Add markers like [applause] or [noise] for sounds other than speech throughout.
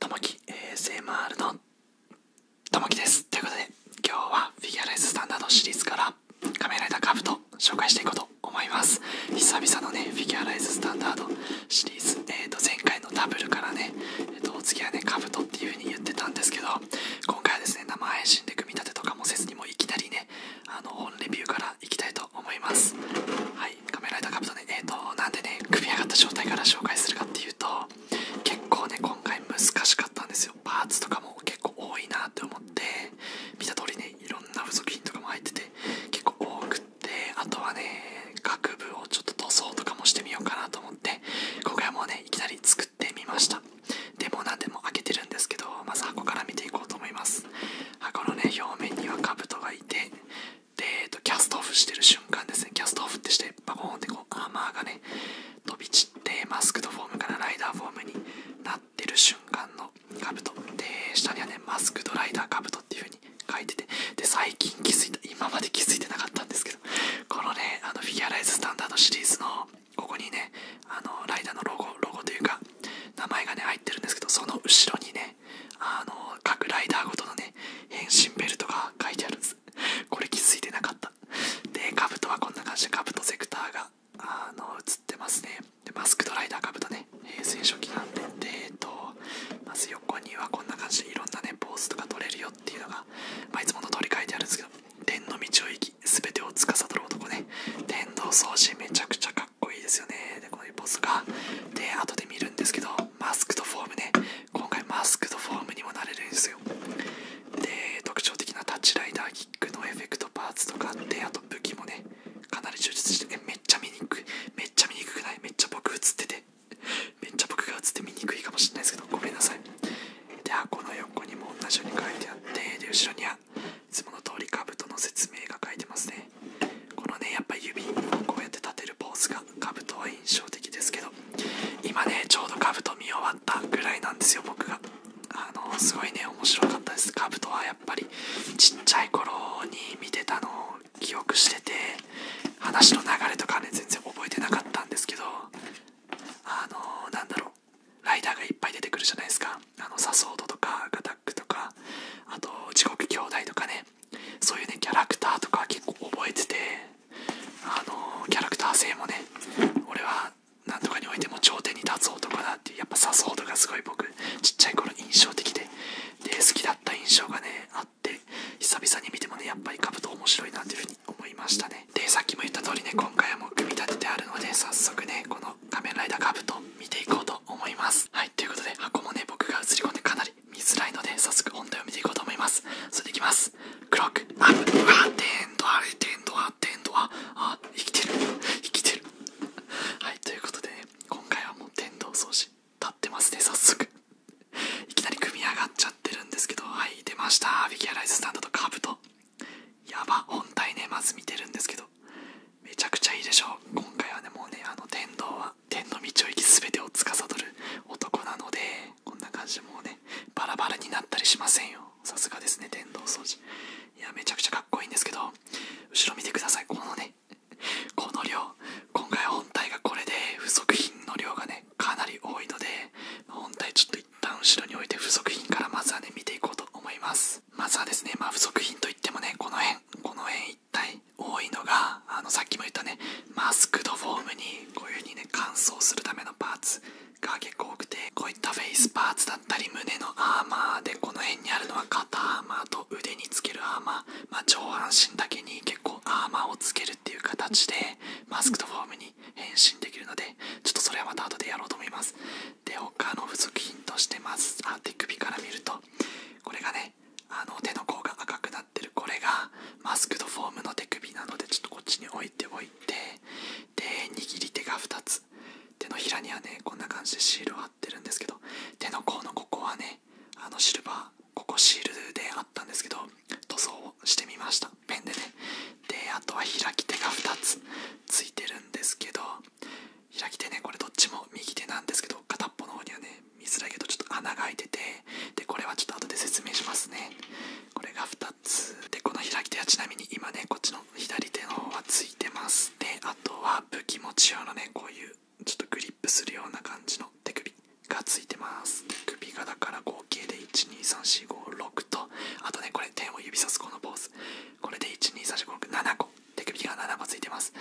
玉木 ASMR のですということで今日はフィギュアレススタンダードシリーズからカメライダーカブト紹介していこうと思います。思います久々のねフィギュアライズスタンダードシリーズ、えー、と前回のダブルからね、えっとお次はねカブトっていう風に言ってたんですけど今回はですね生配信で組み立てとかもせずにもういきなりねあの本レビューからいきたいと思いますはいカメラライダーカブトねえっ、ー、となんでね組み上がった状態から紹介するかっていうと結構ね今回難しかったんですよパーツとかも結構多いなって思って見た通りねいろんな付属品とかも入ってて結構多くってあとはね各部をちょっと塗装とかもしてみようかなと思って今回はもうねいきなり作ってみましたでも何でも開けてるんですけどまず箱から見ていこうと思います箱のね表面にはカブトがいてで、えっと、キャストオフしてる瞬間ですねキャストオフってしてバコーンってこうアーマーがね飛び散ってマスクとフォームからライダーフォームになってる瞬間のの兜で下にはねマスクドライダー兜っていう風に書いててで最近気づいた今まで気づいてなかったんですけどこのねあのフィギュアライズスタンダードシリーズのここにねあのライダーのロゴロゴというか名前がね入ってるんですけどその後ろにねあの各ライダーごとのね変身ベルトが書いてあるんですこれ気づいてなかったでかぶとはこんな感じでとセクターがあの映ってますねでマスクドライダーかぶとね平成初期なんででえっとまず横にはこんな感じでいろんなねポーズとか取れるよっていうのが、まいつもの通り書いてあるんですけど天の道を行き全てを司る男ね天道掃除めちゃくちゃかっこいいですよねでこういうポーズがで後で見るんですけどマスクとフォームね今回マスクとフォームにもなれるんですよで特徴的なタッチライダーキックのエフェクトパーツとかで。あと武器もねかなり充実してめっちゃ見にくいめっちゃ見にくくないめっちゃ僕映っててめっちゃ僕が映って見にくいかもしれないですけどごめんなさいで箱の横にも同じように書いてあってで後ろにはいつもの通り兜の説明が書いてますねこのねやっぱ指こうやって立てるポーズが兜は印象的ですけど今ねちょうど兜見終わったぐらいなんですよ僕があのすごいね面白かったですカブトはやっぱりちっちゃい頃に見てたのを記憶してて話の流れとかね全然覚えてなかったんですけどあのなんだろうライダーがいっぱい出てくるじゃないですかあのサソードとかガタックとかあと地獄兄弟とかねそういうねキャラクターとか結構覚えててあのキャラクター性もね俺はなんとかにおいても頂点に立つ男だってやっぱ誘うとがすごい僕ちっちゃい頃印象的でで好きだった印象がねあって久々に見てもねやっぱり兜面白いなっていうふうに思いましたねでさっきも言った通りね今回はもう組み立ててあるので早速ねこの「仮面ライダー兜」見ていこうと思いますはいということで箱もね僕が映り込んでかなり見づらいので早速本題を見ていこうと思いますそれでいきますクロックアップあテントあテントあテントああ生きてる生きてるはいということで、ね、今回はもう天童掃除立ってますね早速いきなり組み上がっちゃってるんですけどはい出ましたフィギュアライズスタンドとカブトやば本体ねまず見てるんですけどめちゃくちゃいいでしょう今回はねもうねあの天童は天の道を行き全てを司る男なのでこんな感じでもうねバラバラになったりしませんよさすがですね電動掃除いやめちゃくちゃかっこいいんですけど後ろ見てくださいこのね [laughs] この量今回本体がこれで付属品の量がねかなり多いので本体ちょっと一旦後ろに置いて付属品からまずはね見ていこうと思いますまずはですねまあ付属品といってもねこの辺この辺一体多いのがあのさっきも言ったねマスクドフォームにこういう風にね乾燥するためのパーツが結構多くてこういったフェイスパーツだったり胸のアーマーでこの辺にあるのは肩アーマーと腕につけるアーマー、ま上半身だけに結構アーマーをつけるっていう形でマスクとフォームに変身できるのでちょっとそれはまた後でやろうと思いますで他の付属品としてますあ手首から見るとこれがねあの手の甲が赤くなってるこれがマスクとフォームの手首なのでちょっとこっちに置いておいてで握り手が2つ手のひらにはねこんな感じでシールを貼ってるんですけど手の甲のここはねあのシルバーここシールであったんですけど塗装をしてみましたペンでねであとは開き手が2つついてるんですけど開き手ねこれどっちも右手なんですけど片っぽの方にはね見づらいけどちょっと穴が開いててでこれはちょっと後で説明しますねこれが2 2でこの開き手はちなみに今ねこっちの左手の方はついてますであとは武器持ち用のねこういうちょっとグリップするような感じの手首がついてます手首がだから合計で12345 6とあとねこれ点を指さすこのポーズこれで1234567個手首が7個ついてます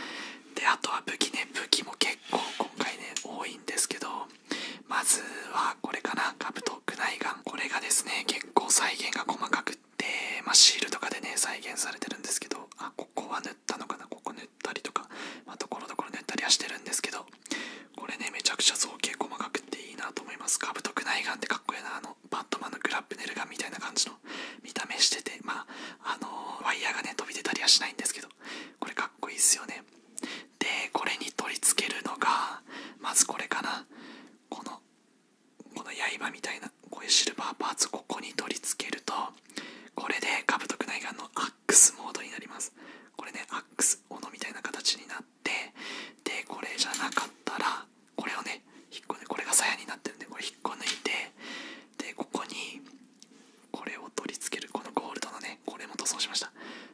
であとは武器ね武器も結構今回ね多いんですけどまずはこれかなカブト、クナこれがですね、結構再現が細かくって、まシールとかでね、再現されてるんですけど、あ、ここは塗ったのかなここ塗ったりとか、まあ、ところどころ塗ったりはしてるんですけど、これね、めちゃくちゃ造形細かくっていいなと思います。カブト、クナイガンってかっこいいな。あの、バットマンのグラップネルガンみたいな感じの見た目してて、まあ、あのワイヤーがね、飛び出たりはしないんですけど、これかっこいいっすよね。で、これに取り付けるのが、まずこれかな。このこの刃みたいなこういうシルバーパーツここに取り付けるとこれでカブトクナイのアックスモードになりますこれねアックス斧みたいな形になってでこれじゃなかったらこれをね引っこねこれが鞘になってるんでこれ引っこ抜いてでここにこれを取り付けるこのゴールドのねこれも塗装しました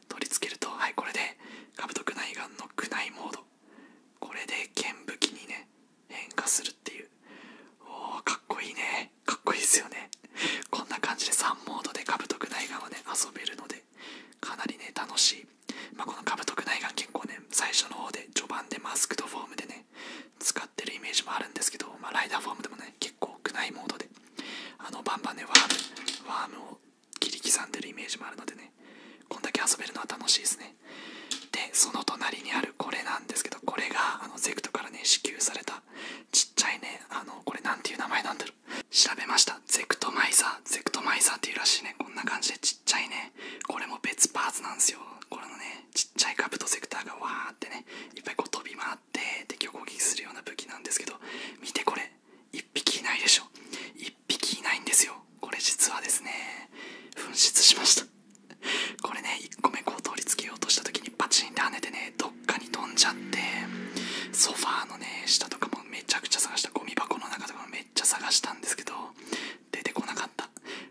取り付けるとはいこれでカブトクナイの宮内モードこれで剣武器にね変化するっていうおーかっこいいねかっこいいですよねこんな感じで3モードでカブトクナイガはね遊べるのでかなりね楽しい、まあ、このカブトクナイ結構ね最初の方で序盤でマスクとフォームでね使ってるイメージもあるんですけど、まあ、ライダーフォームでもね結構ク内モードであのバンバンねワームワームを切り刻んでるイメージもあるのでねこんだけ遊べるのは楽しいですねでその隣にあるこれなんですけどこれがあのゼクトからね支給されたちっちゃいねあのこれ何ていう名前なんだろう調べましたゼクトマイザーゼクトマイザーっていうらしいねこんな感じでちっちゃいねこれも別パーツなんですよこれのねちっちゃいカブトセクターがわーってねいっぱいこう飛び回って敵を攻撃するような武器なんですけど見てこれ1匹いないでしょ1匹いないんですよこれ実はですね紛失しましたこれね1個目こう取り付けようとした時にパチンって跳ねてねどっかに飛んじゃってソファーのね下とかもめちゃくちゃ探したゴミ箱の中とかもめっちゃ探したんですけど出てこなかった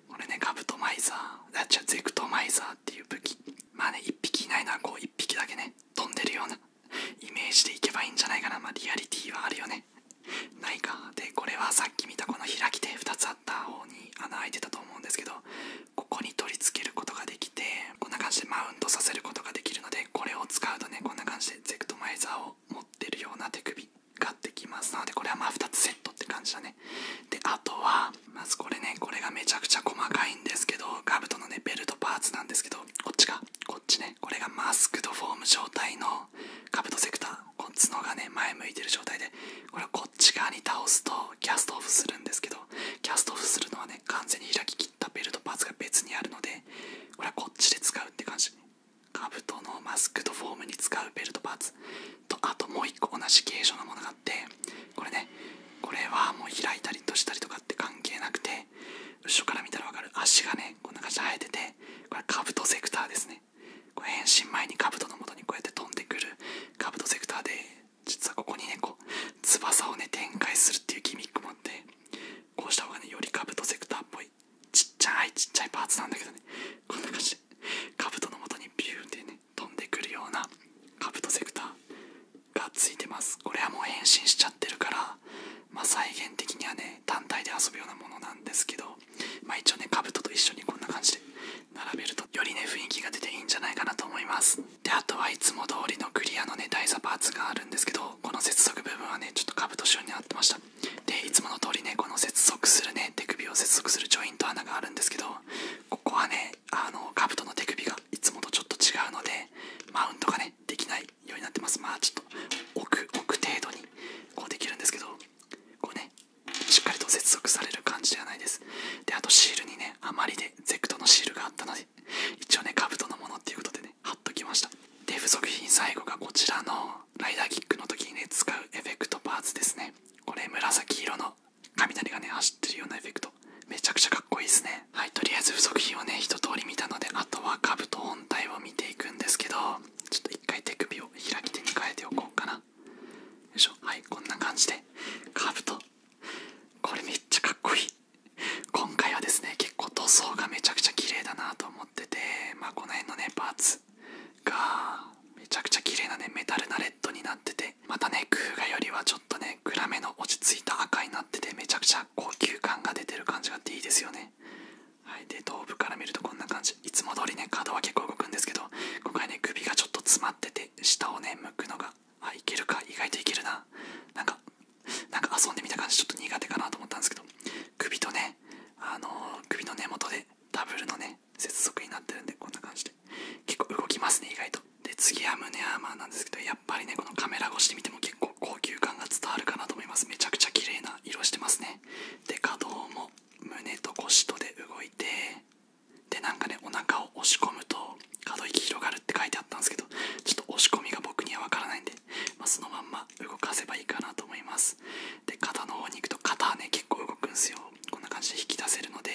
これねカブトマイザーあ違うゼクトマイザーっていう武器まあね1匹いないのはこう1匹だけね飛んでるようなイメージでいけばいいんじゃないかなまあリアリティはあるよねないかでこれはさっき見たこの開きで2つあった方に穴開いてたと思うんですけどここに取り付けることができてこんな感じでマウントさせることができるのでこれを使うとねこんな感じでゼクトマイザーを持ってるような手首ができますなのでこれはまあ2つセットって感じだねであとはまずこれねこれがめちゃくちゃ細かいんですけどガブトのねベルトパーツなんですけどこっちがこっちねこれがマスクドフォーム状態のカブトセクターこの角がね前向いてる状態でこれをこっち側に倒すとキャストオフするんですけどキャストオフするのはね完全に開ききったベルトパーツが別にあるのでこれはこっちで使うって感じカブトのマスクドフォームに使うベルトパーツとあともう一個同じ形状のものがあってこれねこれはもう開いたりとしたりとかって関係なくて後ろから見たらわかる足がねこんな感じで生えててこれカブトセクターですね変身前にカブトのもとにこうやって飛んでくるカブトセクターで実はここにねこう翼をね展開するっていうギミックもあってこうした方がねよりカブトセクターっぽいちっちゃいちっちゃいパーツなんだけどねこんな感じでカブトのもとにビューンってね飛んでくるようなカブトセクターがついてますこれはもう変身しちゃってるから、まあ、再現的にはね単体で遊ぶようなものなんですけど、まあ、一応ね兜と一緒にこんな感じで並べるとよりね雰囲気が出ていいんじゃないかなと思いますであとはいつも通りのクリアのね台座パーツがあるんですけどこの接続部分はねちょっと兜仕様になってましたでいつもの通りねこの接続するね手首を接続するジョイント穴があるんですけどここはねあの兜の手首がいつもとちょっと違うのでマウントがねできないようになってますまあちょっと奥奥程度にこうできるんですけどこうねしっかりと接続される感じではないですであとシールにね余りでゼクトのシールがあったので一応ねカブトのものっていうことでね貼っときましたで付属品最後がこちらのライダーキックの時にね使うエフェクトパーツですねこれ紫色の雷がね走ってるようなエフェクトめちゃくちゃかっこいいですねはいとりあえず付属品をね一通り見たのであとは兜本体を見ていくんですけどちょっと一回手首を開き手に変えておこうかなよいしょはいこんな感じで兜これめっちゃかっこいい今回はですね結構塗装がめちゃくちゃ綺麗だなと思っててまあこの辺のねパーツがめちゃくちゃ綺麗なねメタルなレッドになっててまたね空ガよりはちょっとねグラメの落ち着いた赤になっててめちゃくちゃ高級感が出てる感じがあっていいですよねはいで頭部から見るとこんな感じいつも通りね角は結構動くんですけど今回ね首がちょっと詰まってて下をね向くのがあいけるか意外といけるななんかなんか遊んでみた感じちょっと苦手かなと思ったんですけど首とねあの首の根元でダブルのね接続になってるんでこんな感じで結構動きますね意外とで次は胸アーマーなんですけどやっぱりねこのカメラ越しで見ても結構高級感が伝わるかなと思いますめちゃくちゃ綺麗な色してますねで可動も胸と腰とで動いてでなんかねお腹を押し込むと可動域広がるって書いてあったんですけどちょっと押し込みが僕にはわからないんで、まそのまんま動かせばいいかなと思いますで肩の方に行くと肩はね結構動くんですよこんな感じで引き出せるので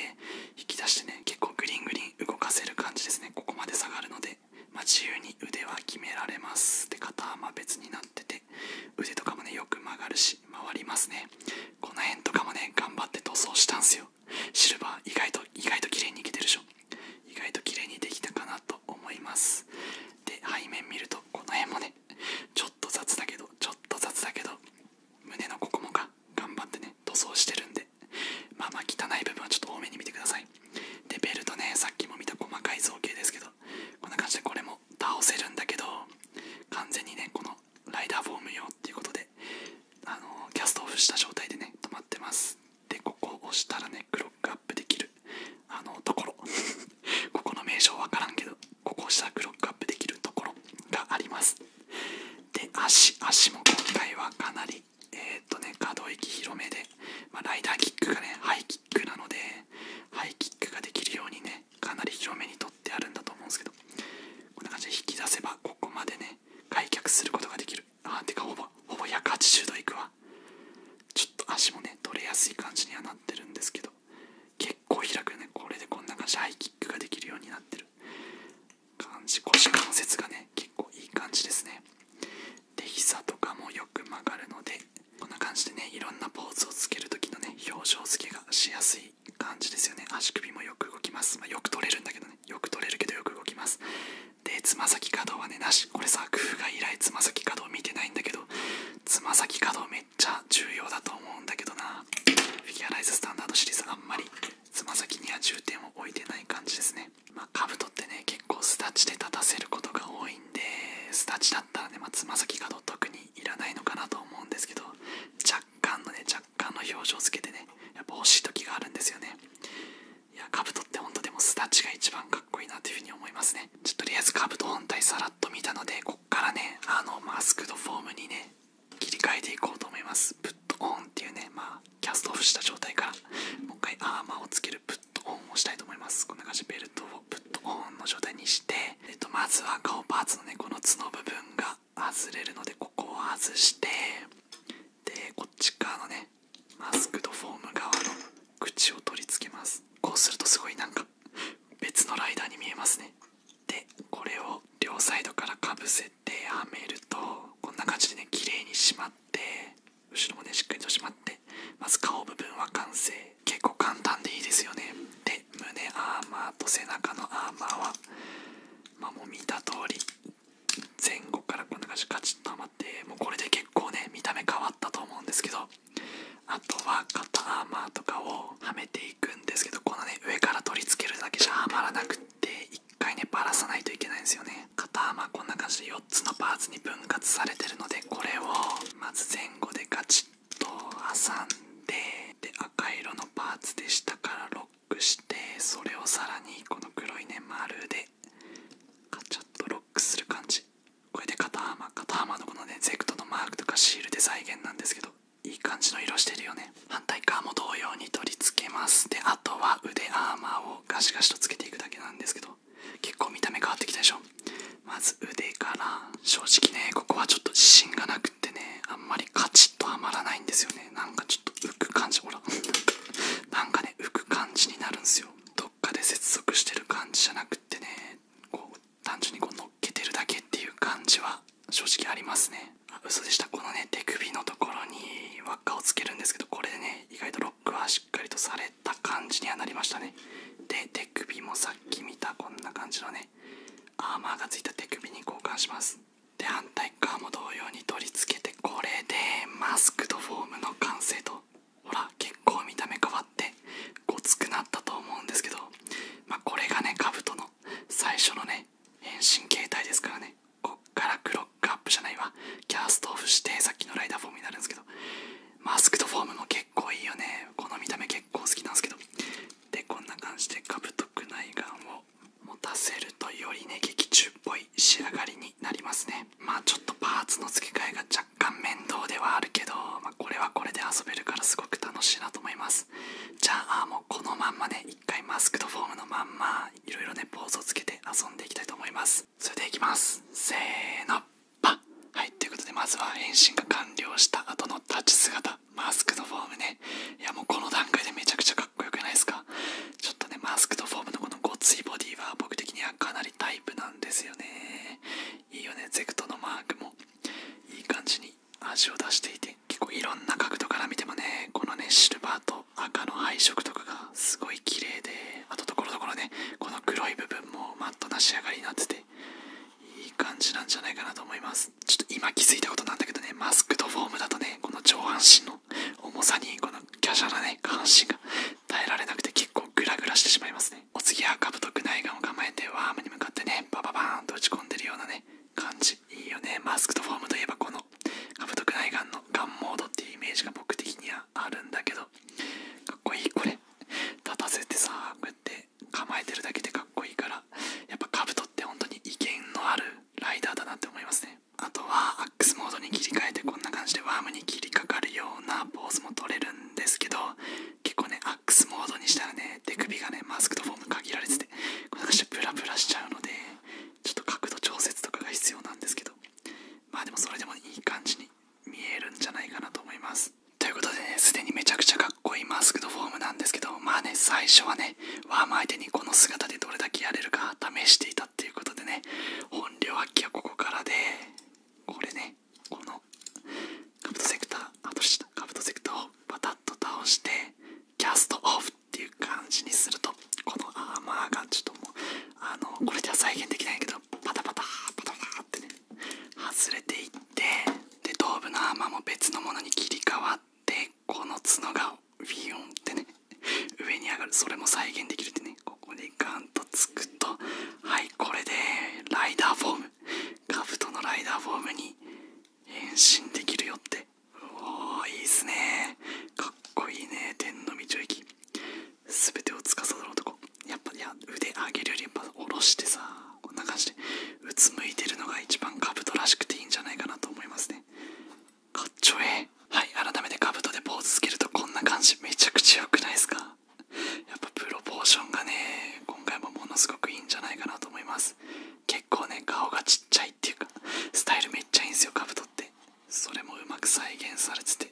引き出してね結構グリングリン動かせる感じですねここまで下がるので、ま自由に腕は決められますで肩はま別になってて腕とかもねよく曲がるし回りますねこの辺とかもね頑張って塗装したんすよシルバー意外と意外と綺麗にいけてるでしょ意外と綺麗にできたかなと思いますで背面見るとこの辺もねちょっと雑だけどちょっと雑だけど胸のここもか頑張ってね塗装してるんでで [laughs] まあまあ汚い部分はちょっと多めに見てくださいでベルトねさっきも見た細かい造形ですけどこんな感じでこれも倒せるんだけど完全にねこのライダーフォーム用っていうことであのキャストオフした状態でね止まってますでここを押したらねクロックアップできるあのところ [laughs] ここの名称わからんけどここを押したらクロックアップできるところがありますで足足も今回はかなりえっとね可動域広めで、まあ、ライダーキックがねハイキックなのでハイキックができるようにねかなり広めに取ってあるんだと思うんですけどこんな感じで引き出せばここまでね開脚することができるあーてかほぼほぼ180度いくわちょっと足もね取れやすい感じにはなってるんですけど結構開くねこれでこんな感じでハイキックができるようになってる感じ腰関節がね結構いい感じですねで膝とかもよく曲がるのでこんな感じでねいろんなポーズをつける時のね表情付けがしやすい感じですよね足首もよく動きます、まよく取れるんだけどねよく取れるけどよく動きますでつま先可動はねなしこれさ工夫が以来つま先可動見てないんだけどつま先可動めっちゃ重要だと思うんだけどなフィギュアライズスタンダードシリーズあんまりつま先には重点を置いてない感じですねまあ兜ってね結構スタッチで立たせることが多いんでスタッチだったらねまつま先角特にいらないのかなと思うんですけど若干のね若干の表情つけてねやっぱ惜しい時があるんですよねいや兜って本当でもす。だッチが一番かっこいいなっていうふうに思いますねちょっととりあえず兜本体さらっと見たのでこっからねあのマスクドフォームにね切り替えていこうと思いますプットオンっていうねまあキャストオフした状態からもう一回アーマーをつけるプットオンをしたいと思いますこんな感じでベルトをプットオンの状態にして、えっと、まずは顔パーツのねこの角部分が外れるのでここを外してでこっち側のねマスクとフォーム側の口を取り付けますこうするとすごいなんか別のライダーに見えますねでこれを両サイドからかぶせ設定めるとこんな感じでね綺麗にしまって後ろもねしっかりとしまってまず顔部分は完成結構簡単でいいですよねで胸アーマーと背中のアーマーはまもう見た通り前後からこんな感じカチッとはまってもうこれで結構ね見た目変わったと思うんですけどあとは肩アーマーとかをはめていいくんですけどこのね上から取り付けるだけじゃはまらなくって1回ねばらさないといけないんですよね肩幅こんな感じで4つのパーツに分割されてるのでこれをまず前後でガチッと挟んでで赤色のパーツで下からロックしてそれをさらにこの黒いね丸でガチャッとロックする感じこれで肩幅肩幅のこのねゼクトのマークとかシールで再現なんですけどいい感じの色してるよね反対側も同様に取り付けますであとは腕アーマーをガシガシとつけていくだけなんですけど結構見た目変わってきたでしょまず腕から正直ねここはちょっと自信がなくってねあんまりカチッとはまらないんですよねなんかちょっと浮く感じほらなんかね浮く感じになるんすよどっかで接続してる感じじゃなくってねこう単純にこう乗っけてるだけっていう感じは正直ありますねあ嘘でしたこのね手首のところに輪っかをつけるんですけどこれでね意外とロックはしっかりとされた感じにはなりましたねで手首もさっき見たこんな感じのねアーマーがついた手首に交換しますで反対側も同様に取り付けてこれでマスクとフォームの完成とほら結構見た目変わってごつくなったと思うんですけど、まあ、これがね兜の最初のね変身形態ですからねこっからクロックアップじゃないわキャストオフしてさっきのライダーフォームになるんですけどマスクとフォームも結構いいよねこの見た目結構好きなんですけどでこんな感じでカブトクナイガンを持たせるとよりね劇中っぽい仕上がりになりますねまあちょっとパーツの付け替えが若干面倒ではあるけど、まあ、これはこれで遊べるからすごく楽しいなと思いますじゃあもうこのまんまね一回マスクとフォームのまんまいろいろねポーズをつけて遊んでいきたいと思いますそれでいきますせーのパッはいということでまずは変身が完了した後の立ち姿マスクとフォームねいやもうこの段階でめちゃくちゃかっこよくないですかちょっとねマスクとフォームのこのごついボディは僕的にはかなりタイプなんですよねいいよねゼクトのマークもいい感じに味を出していて結構いろんな角度から見てもねこのねシルバーと赤の配色とかがすごい綺麗であとところどころねこの黒い部分もマットな仕上がりになってていい感じなんじゃないかなと思いますちょっと今気づいたことなんだけどねマスクとフォームだとねこの上半身の重さにこのキャシャなね下半身が耐えられなくて結構グラグラしてしまいますねお次はカブト構えてワームに向かってねバババーンと打ち込んでるようなね感じいいよねマスクとフォームといえばこのカブトクライガンのガンモードっていうイメージが僕的にはあるんだけどかっこいいこれ立たせてさこうやって構えてるだけでかっこいいからやっぱカブトって本当に意見のあるライダーだなって思いますねあとはアックスモードに切り替えてこんな感じでワームに切りかかるようなポーズも取れるんですけど結構ねアックスモードにしたらね手首がねマスクとフォーム限られててこんな感じブラブラしちゃうのでちょっと角度調節とかが必要なんですけどまあでもそれでもいい感じに見えるんじゃないかなと思いますということでねすでにめちゃくちゃかっこいいマスクとフォームなんですけどまあね最初はねワーム相手にこの姿でどれだけやれるか試していたっていうことでね本領発揮はここからでこれねこのカブトセクターあとしたカブトセクターをバタッと倒してキャストオフっていう感じにするとこのアーマーがちょっともうあのこれじゃ再現できないけどパタパタパタパタってね外れていってで頭部のアーマーも別のものに切り替わってこの角がウィヨンってね上に上がるそれも再現できるってねここでガンとつくとはいこれでライダーフォームカブトのライダーフォームに変身できるよっておおいいっすねかっこいいね天の道駅すべてを司る男やっぱいや腕上げるよりや下ろしてさこんな感じでうつむいてるのが一番カブトらしくていいんじゃないかなと思いますねかっちょえはい改めてカブトでポーズつけるとこんな感じめちゃくちゃ良くないですかやっぱプロポーションがね今回もものすごくいいんじゃないかなと思います結構ね顔がちっちゃいっていうかスタイルめっちゃいいんですよカブトってそれもうまく再現されてて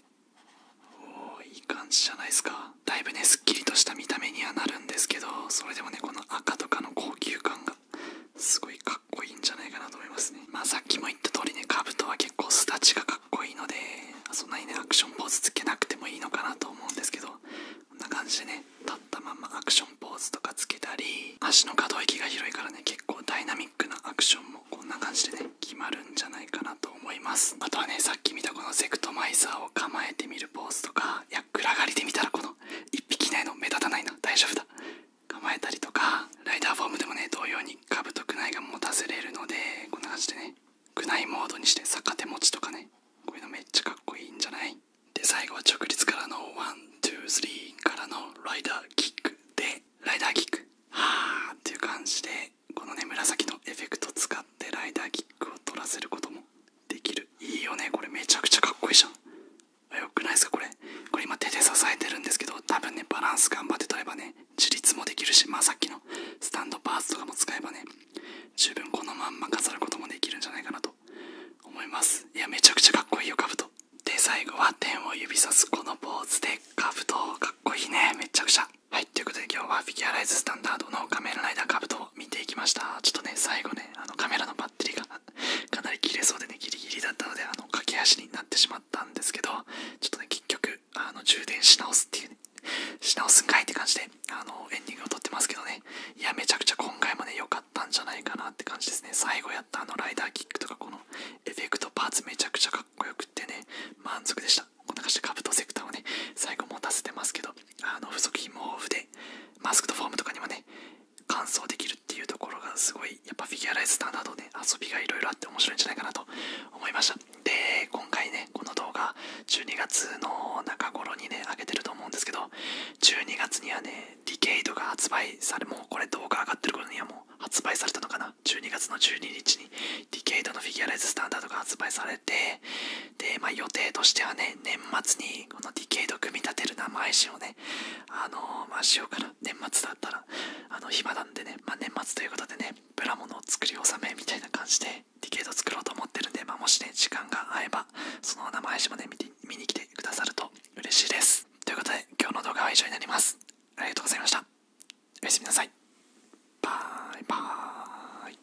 おおいい感じじゃないですかだいぶねすっきりとした見た目にはなるんですけどそれでもねこの赤とかの高級感がすごいかっこいいんじゃないかなと思いますねまあさっきも言った通りねカブトは結構スタちがかっこいいのでそんなにねアクションポーズつけなくてもいいのかなと思うんですけどこんな感じでね立ったままアクションポーズとかつけたり足の可動域が広いからね結構ダイナミックなアクションもこんな感じでね決まるんじゃないかなと思いますあとはねさっき見たこのセクトマイザーを構えてみるポーズとかいや暗がりで見たらこの1匹いなの目立たないな大丈夫だ構えたりとかライダーフォームでもね同様にカブとクナイが持たせれるのでこんな感じでねグナイモードにして逆手持ちとかねこういうのめっちゃかっこいいんじゃないで最後は直立からのワンツースリーからのライダーキックでライダーキックはあっていう感じでこのね紫のエフェクト使ってライダーキックを取らせることもできるいいよねこれめちゃくちゃかっこいいじゃんよくないですかこれこれ今手で支えてるんですけど多分ねバランス頑張って取ればね自立もできるしまあさっきのスタンドバースとかも使えばね十分このまんま飾ることもできるんじゃないかなと思いますいやめちゃくちゃかっこいいよ兜で最後は天を指さすこのポーズで兜かっこいいねめちゃくちゃはいということで今日はフィギュアライズスタンダードの仮面ライダー兜を見ていきましたちょっとね最後ねあのカメラのバッテリーが [laughs] かなり切れそうでねギリギリだったのであの駆け足になってしまったんですけどちょっとね結局あの充電し直すっていうねし直すんかいって感じであのエンディングを撮ってますけどねいやめちゃくちゃ今回もね良かったんじゃないかなって感じですね最後やったあのライダーキックとかこのエフェクトパーツめちゃくちゃかっこよくってね満足でしたこんな感じでカブトセクターをね最後持たせてますけどあの不足品も豊富でマスクとフォームとかにもね完走できるっていうところがすごいやっぱフィギュアライズスタンダードで、遊びがいろいろあって面白いんじゃないかなと思いましたで今回ねこの動画12月の中頃にね上げてると思うんですけど12月にはねディケイドが発売されもうこれ動画上がってる頃にはもう発売されたのかな12月の12日にディケイドのフィギュアライズスタンダードが発売されてでまあ予定としてはね年末にこのディケイド組み立てる生配信をねあのましようかな年末だったらあの暇なんでねま年末ということでねプラモの作り納めみたいな感じでディケード作ろうと思ってるんで、まもしね時間が合えばその名前信まで見て見に来てくださると嬉しいですということで今日の動画は以上になりますありがとうございましたおやすみなさいバイバーイ